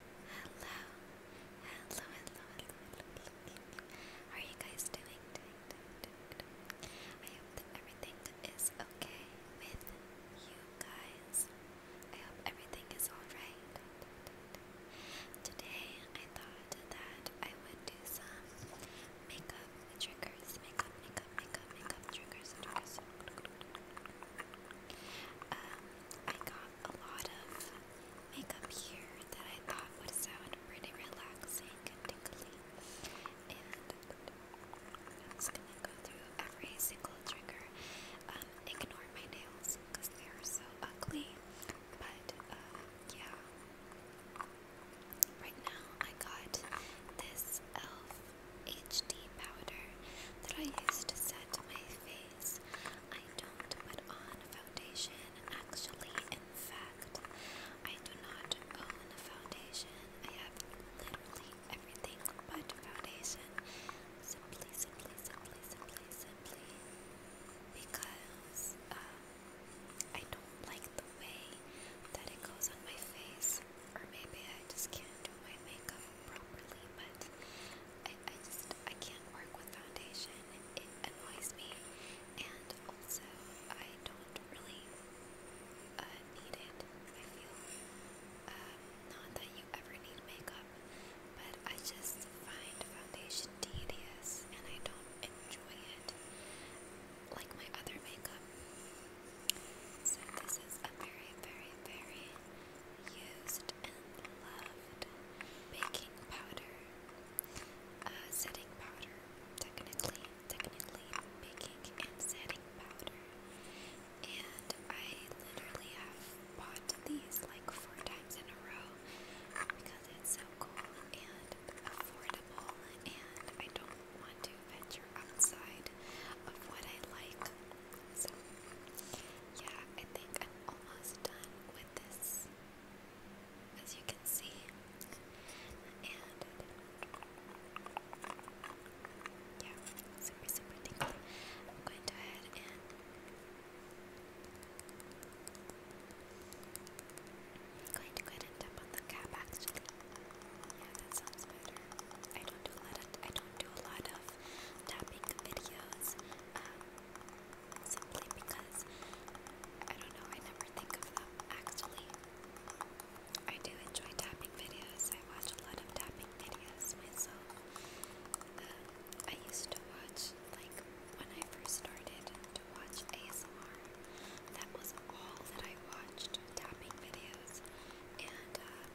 Hello, hello, hello, hello, hello, hello. are you guys doing? I hope everything is okay with you guys. I hope everything is alright. Today I thought that I would do some makeup triggers, makeup, makeup, makeup, makeup triggers, triggers. Um, I got a lot of makeup here that I thought would sound pretty relaxing and tickly. I'm just gonna go through every single trigger. Um, ignore my nails because they are so ugly. But uh, yeah. Right now I got this e.l.f. HD powder that I use to set my face. I don't put on foundation. Actually, in fact, I do not own a foundation. I have literally everything but foundation. Simply, simply, simply, simply, simply because um, I don't like the way that it goes on my face. Or maybe I just can't do my makeup properly, but I, I just, I can't work with foundation, it annoys me, and also, I don't really, uh, need it, I feel, um, not that you ever need makeup, but I just find foundation tedious, and I don't enjoy it, like my other makeup, so this is a very, very, very used used and loved baking powder, uh, setting powder, technically, technically baking and setting powder. And I literally have bought these like four times in a row because it's so cool and affordable, and I don't want to venture outside of what I like. So, yeah, I think I'm almost done with this, as you can see. And, yeah, super, super tingly. I'm going to head and I'm going to go ahead and tap on the cap Yeah, that sounds better. I don't do a lot tapping videos um, simply because I don't know, I never think of them actually. I do enjoy tapping videos, I watch a lot of tapping videos myself. Um, I used to watch, like, when I first started to watch ASMR, that was all that I watched tapping videos. And um,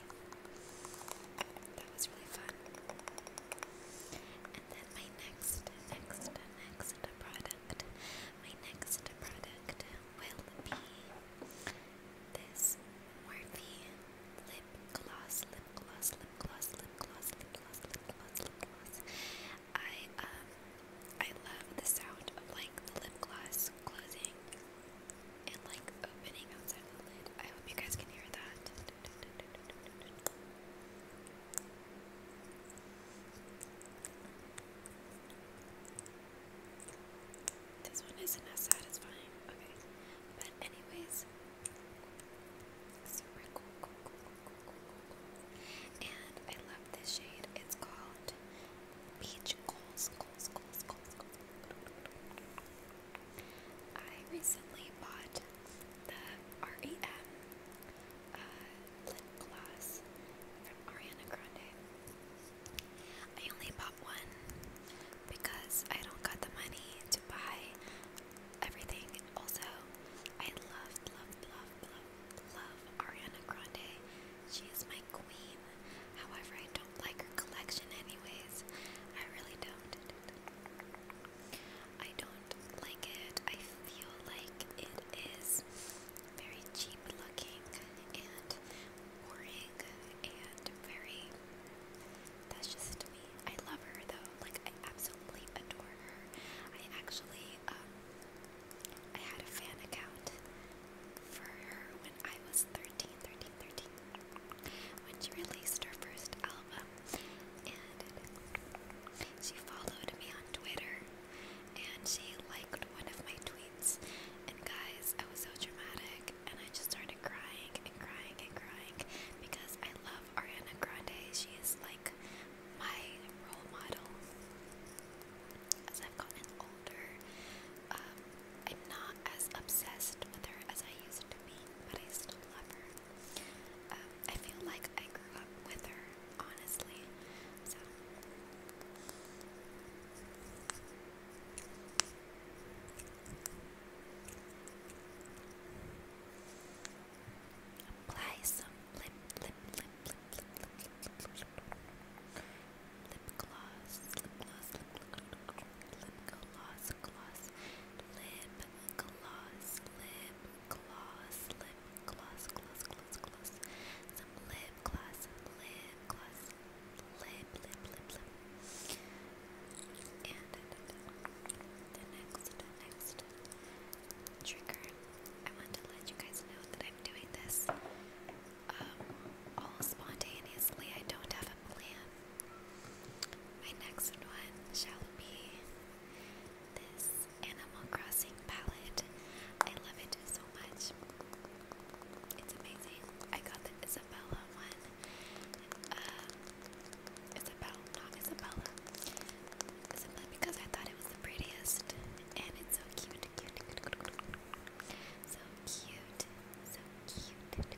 That was really fun. And then my next, next, next product, my next product will be this Morphe lip gloss, lip gloss, lip gloss, lip gloss, lip gloss, lip gloss, lip gloss. I um I love the sound of like lip gloss closing and like opening outside the lid. I hope you guys can hear that. This one isn't as satisfying. Okay. But anyways. Super cool, cool, cool, cool, cool, cool. And I love this shade. It's called Peach Coals, I recently bought the REM uh, lip gloss from Ariana Grande. I only bought one because I don't got the money to buy everything. Also, I love, love, love, love, love Ariana Grande. She is my queen. However, I don't like her collection anyways. I really don't. I don't like it. I feel like it is very cheap looking and boring and very. That's just me. I love her though. Like, I absolutely adore her. I actually, um, I had a fan account for her when I was 13 when she released her first album. And she followed me on Twitter and she liked one of my tweets. And guys, I was so dramatic and I just started crying and crying and crying because I love Ariana Grande. She is like my role model. As I've gotten older, um, I'm not as obsessed with her as I used but I still love her. I feel like I grew up with her, honestly. So. Apply some lip, lip, lip, lip, lip, lip, lip, gloss, lip gloss, gloss, gloss, lip gloss, lip gloss, lip gloss, gloss, gloss, gloss, some lip gloss, lip gloss, lip, lip, lip, lip, and the next, the next trigger. I want to let you guys know that I'm doing this all spontaneously. I don't have a plan. My next one shall be this Animal Crossing palette. I love it so much. It's amazing. I got the Isabella one. Um, Isabella, not Isabella. Isabella because I thought it was the prettiest. And it's so cute. So cute. So cute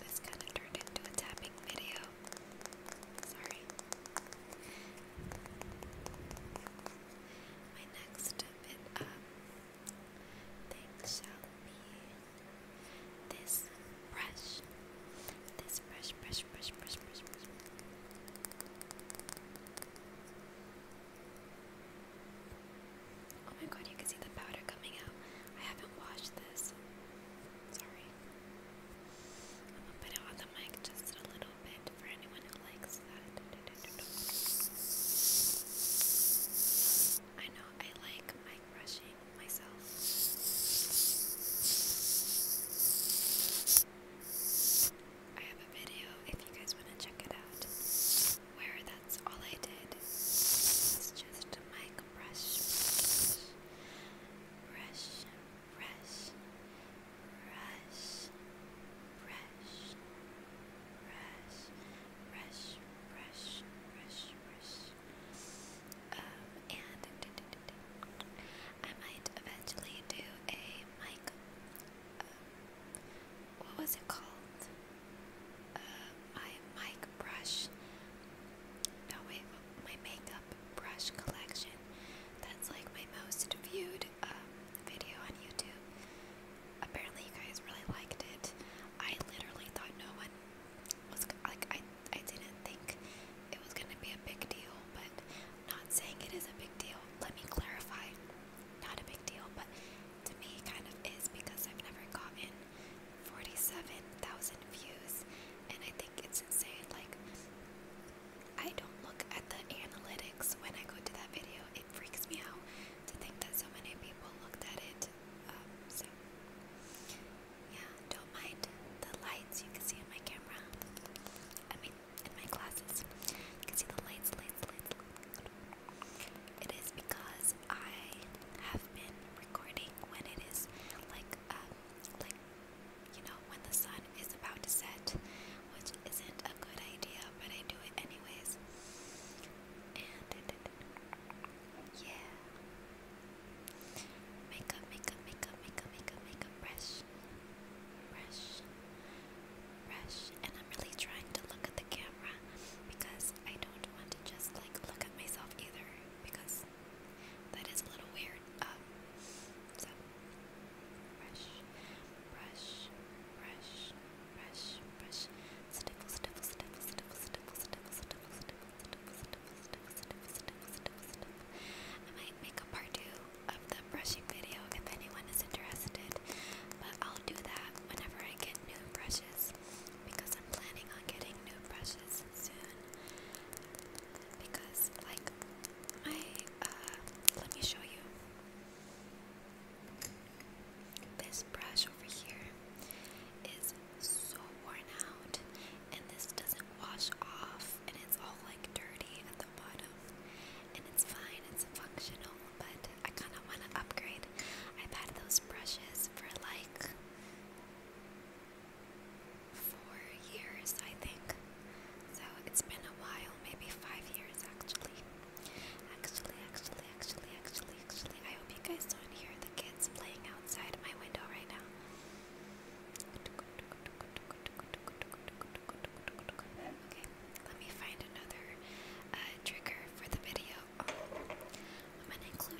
this kind of turned into a tapping video. Sorry. My next bit um shall be this brush. This brush, brush, brush, brush, brush. Oh my god, you can see the powder coming out. I haven't washed this. Sorry. I'm a bit off the mic just a little bit for anyone who likes that. I know I like mic brushing myself. I have a video if you guys want to check it out where that's all I did. It's just mic brush brush, brush, brush, brush, brush, brush, brush, brush, brush. Um, and I might eventually do a mic. Um, what was it called? Uh, my mic brush now my, my makeup brush collection, that's like my most viewed um, video on YouTube. Apparently you guys really liked it. I literally thought no one was, like I, I didn't think it was going to be a big deal, but not saying it is a big deal. Let me clarify. Not a big deal, but to me it kind of is because I've never gotten 47,000 views, and I think it's insane. Like, I don't look at the analytics when I go to that video, it freaks me out to think that so many people looked at it. Um, so, yeah, don't mind the lights you can see in my camera. I mean, in my glasses. You can see the lights, lights, lights. It is because I have been recording when it is like, um, like you know, when the sun is about to set, which isn't a good idea, but I do it anyways. And yeah, makeup, makeup, makeup, makeup, makeup, makeup, brush, brush, brush, and I'm really trying to look at the camera because I don't want to just like look at myself either because that is a little weird. Um, so, brush, brush, brush, brush, brush. Sniffle, sniffle, sniffle, sniffle, sniffle, sniffle, sniffle, sniffle, sniffle, sniffle, sniffle, sniffle, sniffle, sniffle, sniffle. I might make a part two of the brushing video if anyone is interested, but I'll do that whenever I get new brushes because I'm planning on getting new brushes because, like, my uh, let me show you this brush over here is so worn out, and this doesn't wash off, and it's all like dirty at the bottom. And it's fine, it's functional, but I kind of want to upgrade. I've had those brushes for like four years, I think. So it's been a while, maybe five years actually. Actually, actually, actually, actually, actually. I hope you guys don't hear the kids playing outside my window right now. Okay, let me find another uh, trigger for the video. Um, I'm gonna include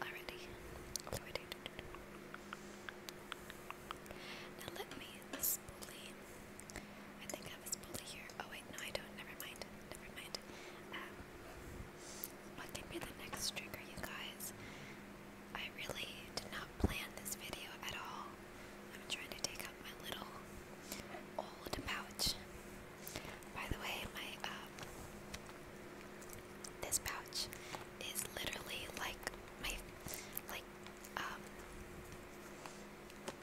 Already, already, now let me spoolie. I think I have a spoolie here. Oh wait, no I don't. Never mind. Never mind. Um, what can be the next trigger, you guys? I really did not plan this video at all. I'm trying to take out my little old pouch. By the way, my um, this pouch is literally like my like um,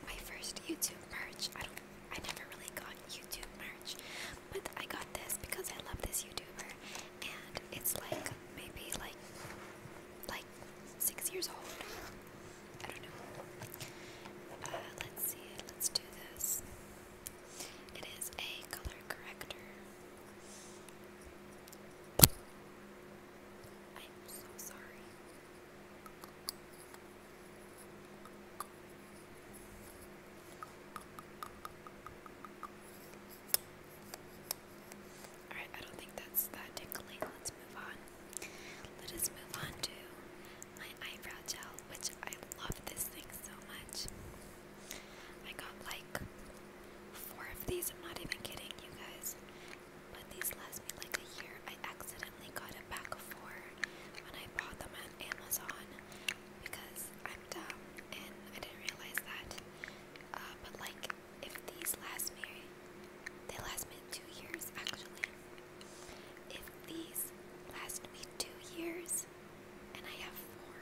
my first YouTube merch. I don't, I never really got YouTube merch, but I got this because I love this YouTuber, and it's like maybe like like six years old. I don't know. Uh, let's see. Let's do this. It is a color corrector. I'm so sorry. Alright, I don't think that's that tickling. Let's move on. Let us move on to my eyebrow gel, which I love this thing so much. I got like four of these. I'm not even kidding you guys. But these last me like a year. I accidentally got a pack of four when I bought them on Amazon because I'm dumb and I didn't realize that. Uh, but like, if these last me, they last me two years actually. If these last me two years and I have four,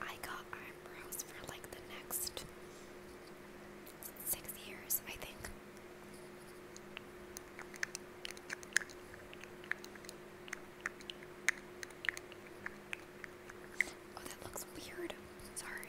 I got eyebrows for like the next six years, I think. Oh, that looks weird. Sorry.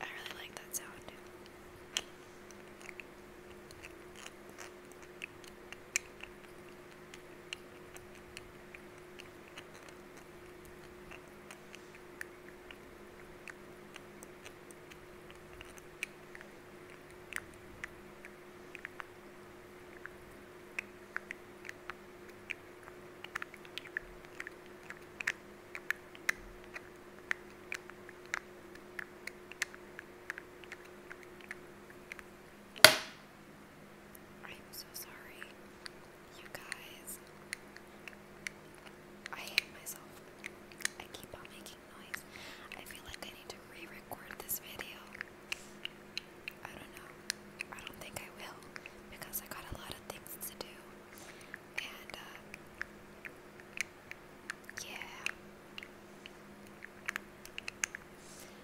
I really like that sound. I'm so sorry, you guys. I hate myself. I keep on making noise. I feel like I need to re record this video. I don't know. I don't think I will because I got a lot of things to do. And, uh, yeah.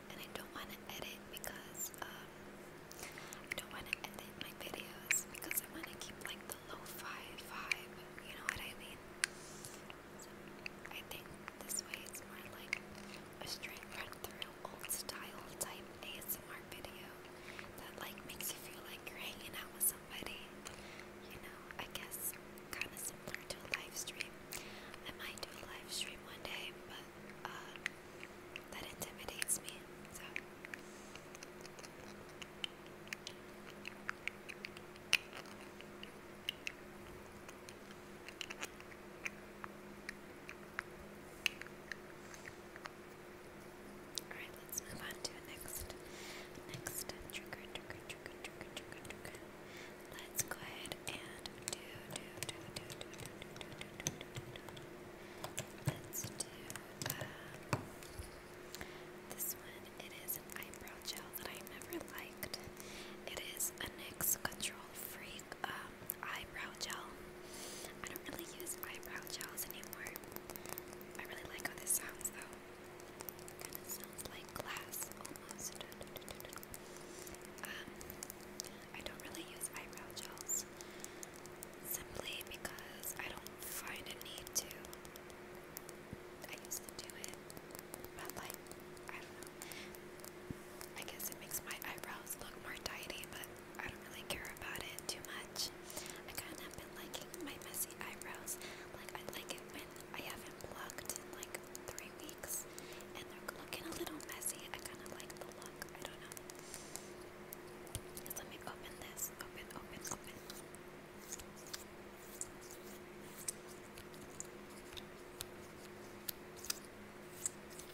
And I don't want to edit because, um, I don't want to edit my videos because I want to keep, like, the lo-fi vibe, you know what I mean? So, I think this way it's more like a straight run through old style type ASMR video that like makes you feel like you're hanging out with somebody. You know, I guess kind of similar to a live stream. I might do a live stream one day, but uh, that intimidates me. So. Alright, let's move on to next next trigger, trigger, trigger, trigger, trigger, trigger. Let's go ahead and do do do do do do do do do do do do. Let's do um, this one. It is an eyebrow gel that I never liked. It is a NYX Control Freak um eyebrow gel. I don't really use eyebrow gels anymore. I really like how this sounds though. Kind of sounds like glass almost. Um, I don't really use eyebrow gels simply because I don't find a need to. I used to do it, but like, I don't know. I guess it makes my eyebrows look more tidy, but I don't really care about it too much. I kind of been liking my messy eyebrows. Like I like it when I haven't plucked in like three weeks and they're looking a little messy. I kind of like the look. I don't know. let me open this. Open, open, open.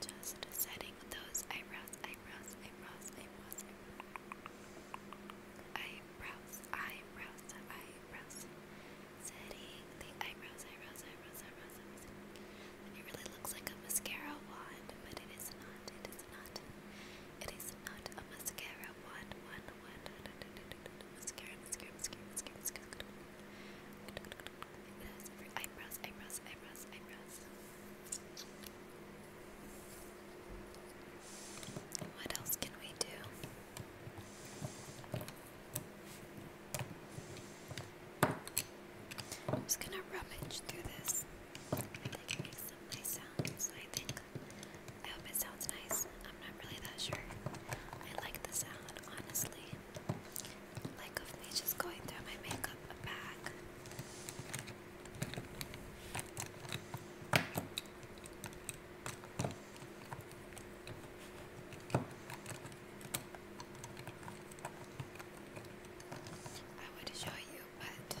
Just setting those eyebrows, eyebrows, eyebrows, eyebrows, eyebrows, eyebrows, eyebrows. Setting the eyebrows, eyebrows, eyebrows, eyebrows, It really looks like a mascara wand, but it is not not. It is not a mascara. One, one, one. Mascara, mascara, mascara, mascara, mascara. eyebrows, eyebrows, eyebrows, eyebrows. What else can we do? I'm just gonna rummage through this. I hope it sounds nice. I'm not really that sure. I like the sound, honestly. Like of me just going through my makeup bag. I would show you you, but you.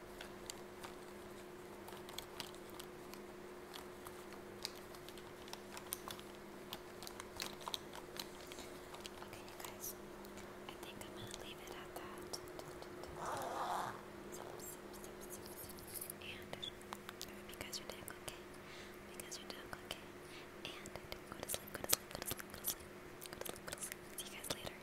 Okay, you guys, I think I'm going to leave it at that. And because you're done cooking, because you're done cooking, and go to sleep, go to sleep, go to sleep, go to sleep, go to sleep, go to sleep. See you guys later.